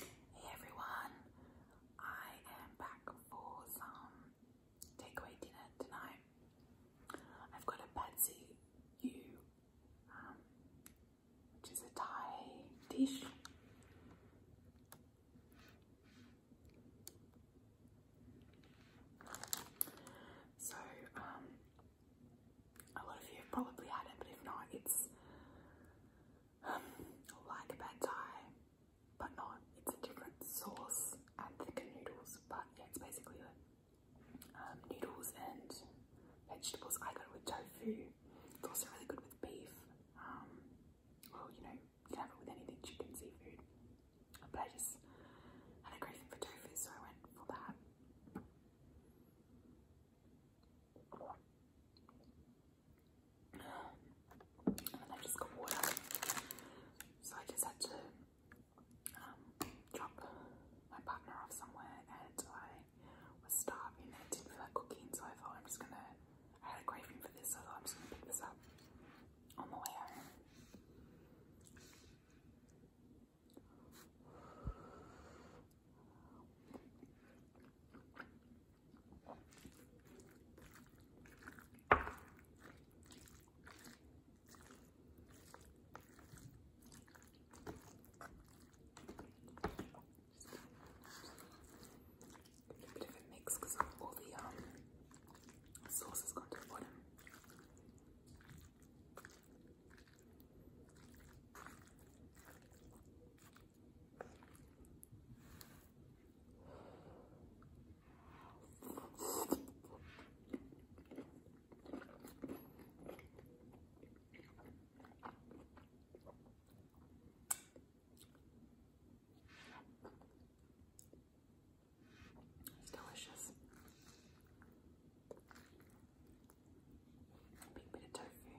Hey everyone, I am back for some takeaway dinner tonight. I've got a Patsy U, um, which is a Thai dish. So, um, a lot of you have probably had it, but if not, it's um, like a bad tie, but not. It's a different sauce and thicker noodles, but yeah, it's basically um, noodles and vegetables. I go with tofu. It's also really good with beef. Um, well, you know, you can have it with anything, chicken, seafood. But I just had a craving for tofu, so I went for that. I just got water. So I just had to um, drop my partner off somewhere and I was starving I didn't feel like cooking so I thought I'm just gonna, I had a craving for this so I'm just gonna pick this up on the way home. A bit of a mix because all the um, sauce has to the bottom. It's delicious a big bit of tofu.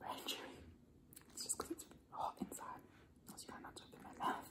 Very chewy. It's just it's hot inside. That's why I'm not talking my mouth.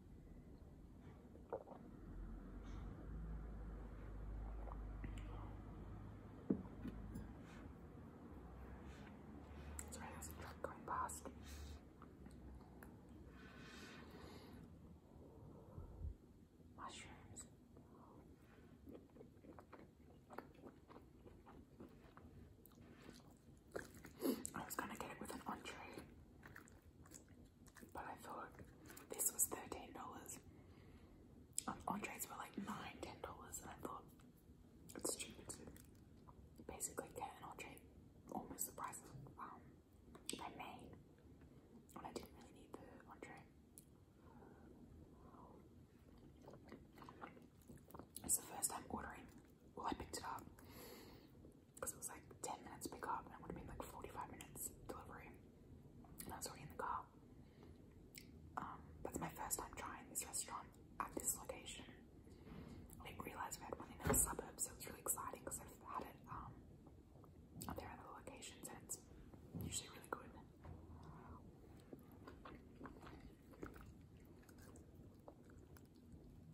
Sorry, going past. Mushrooms. I was gonna get it with an entree. But I thought this was $13. Um, entrees were like $9, $10, and I thought it's stupid to basically get an entree almost the price of um, my main. And I didn't really need the entree. It's the first time ordering. Well, I picked it up because it was like 10 minutes pick up and it would have been like 45 minutes delivery. And I was already in the car. Um, that's my first time trying this restaurant at this location. I didn't realise we had one in the suburbs, so it's really exciting because I've had it um, at their other locations and it's usually really good.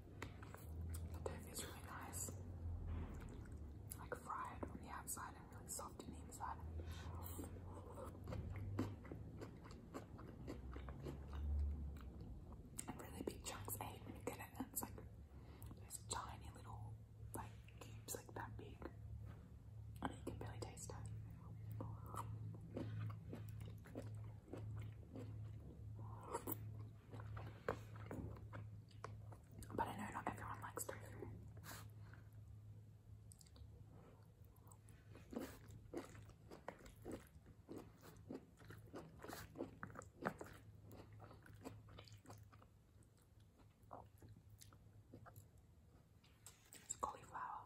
The dough is really nice, like fried on the outside and really soft on the inside. And really big chunks I eh? hate when you get it and it's like those tiny little like cubes like that big. and you can barely taste it. But I know not everyone likes tofu. cauliflower.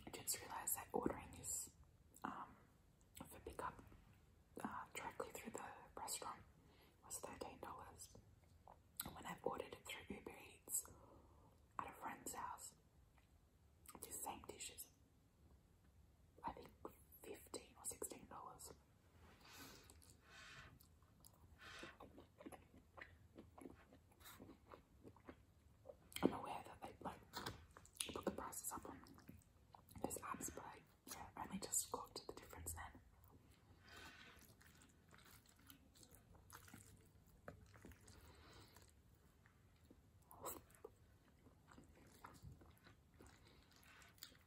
I just realized that ordering is um, for pickup uh, directly through the restaurant was $13. when i ordered it through Uber Eats at a friend's house, the same dishes, I think 15 or $16. I'm aware that they like put the prices up on those apps, but I yeah, only just got the difference then.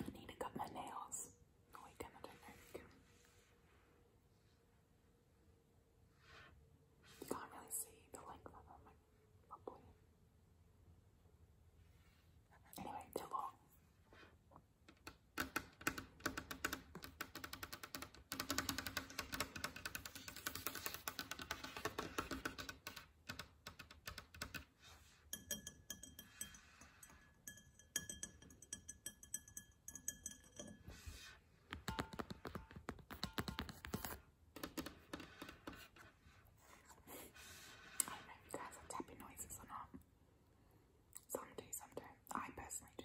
I need to cut my nails. Oh, no, I can, don't you you can't really see the length of them like, Anyway, they long. I don't know if you guys have tapping noises or not. Some do, some don't. I personally do.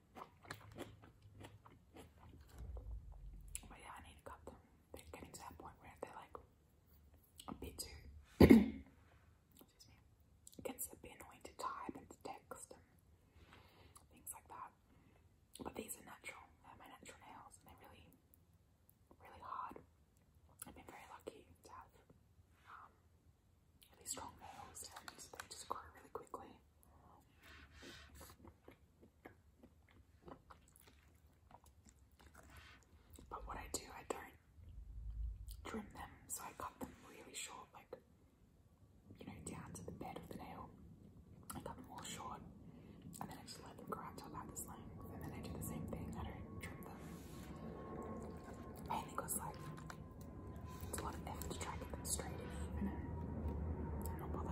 But yeah, I need to cut them. They're getting to that point where they're like a bit too excuse me. gets a bit annoying to type and to text things like that. But these are natural, they're my natural nails they're really really hard. I've been very lucky to have um, really strong nails and they just grow really quickly. But what I do, I don't trim them, so I cut them really short, like you know, down to the bed of the nail. I cut them all short and then I just let them grow up to about this length. And then I do the same thing, I don't trim them. Mainly because, like, it's a lot of effort to try and get straight and even. I'm not bothered.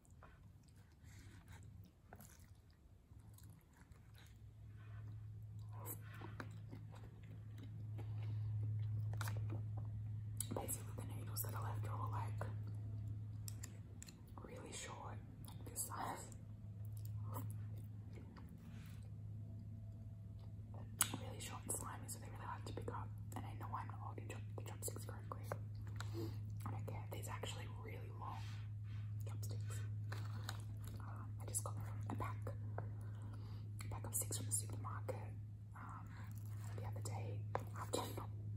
Basically, the needles that I left are like really short, like this size. Really short slime me something really hard to pick up, and I know I'm not holding chop the chopsticks correctly. I don't care. These are actually really long chopsticks. Um, I just got a pack, pack of six from the supermarket um, the other day after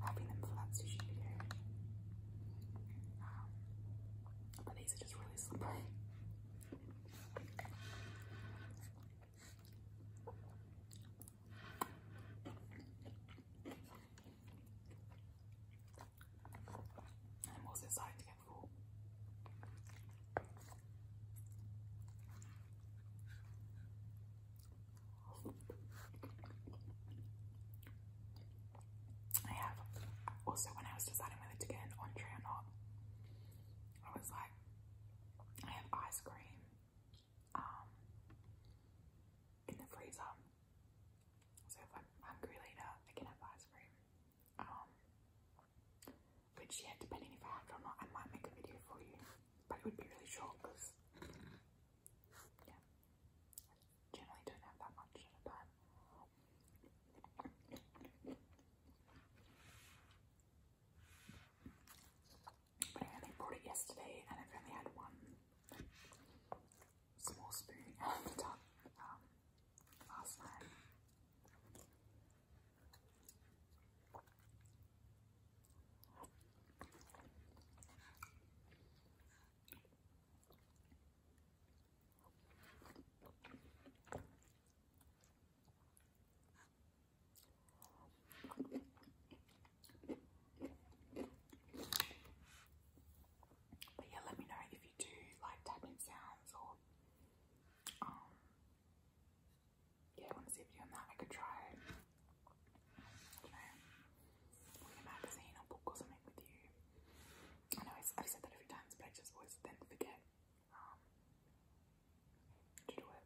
having them for that sushi video. Um, but these are just really slippery. I'm most excited I have also when I was deciding whether to get an entree or not, I was like, I have ice cream um, in the freezer. So if I'm hungry later, I can have ice cream. Um, which yeah, depending if I have it or not, I might make a video for you. But it would be really short because yeah, I generally don't have that much at a time. But I only bought it yesterday and I've only had one small spoon out the tub um, last night. But yeah, let me know if you do like tapping sounds or um, yeah, want to see a video on that. I could try you know a magazine or book or something with you. I know I've said that a few but I just always then forget um, to do it.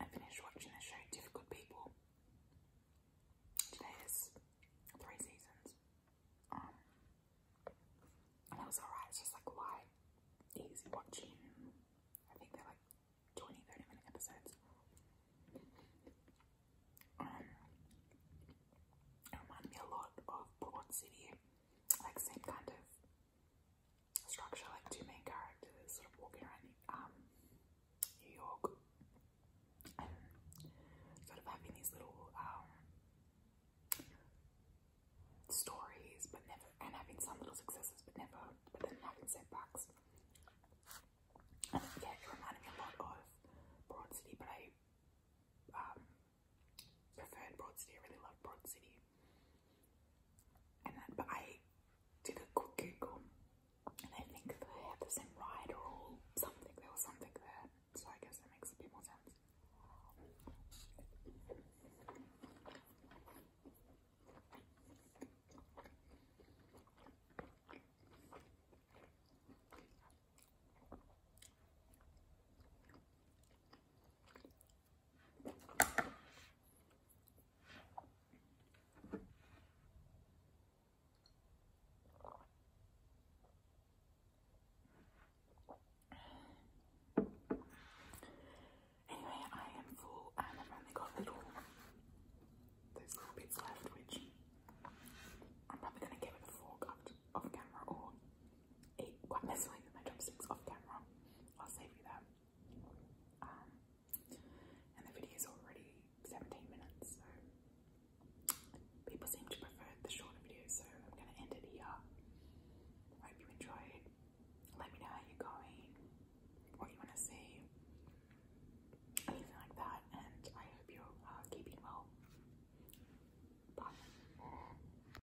I finished watching the show Difficult People. Today is three seasons. Um, and was alright, it's just like light, easy watching. I think they're like 20, minute episodes. Um, it me a lot of Broad City, like same kind of structure, like two main characters sort of walking around um, New York and sort of having these little um, stories, but never, and having some little successes, but never, but then having setbacks. And yeah, it reminded me a lot of Broad City, but I um, preferred Broad City. I really love Broad City. And then, but I did a quick Google, and I think they had the same ride or something. There was something there, so I guess that makes a bit more sense. Anyway, I am full i only got little those little bits left which I'm probably gonna get with a fork up off camera quite messily with my chopsticks off camera. I'll save you that. Um, and the video is already 17 minutes, so people seem to prefer the shorter videos, so I'm going to end it here. Hope you enjoyed. Let me know how you're going, what you want to see, anything like that, and I hope you're uh, keeping well. Bye.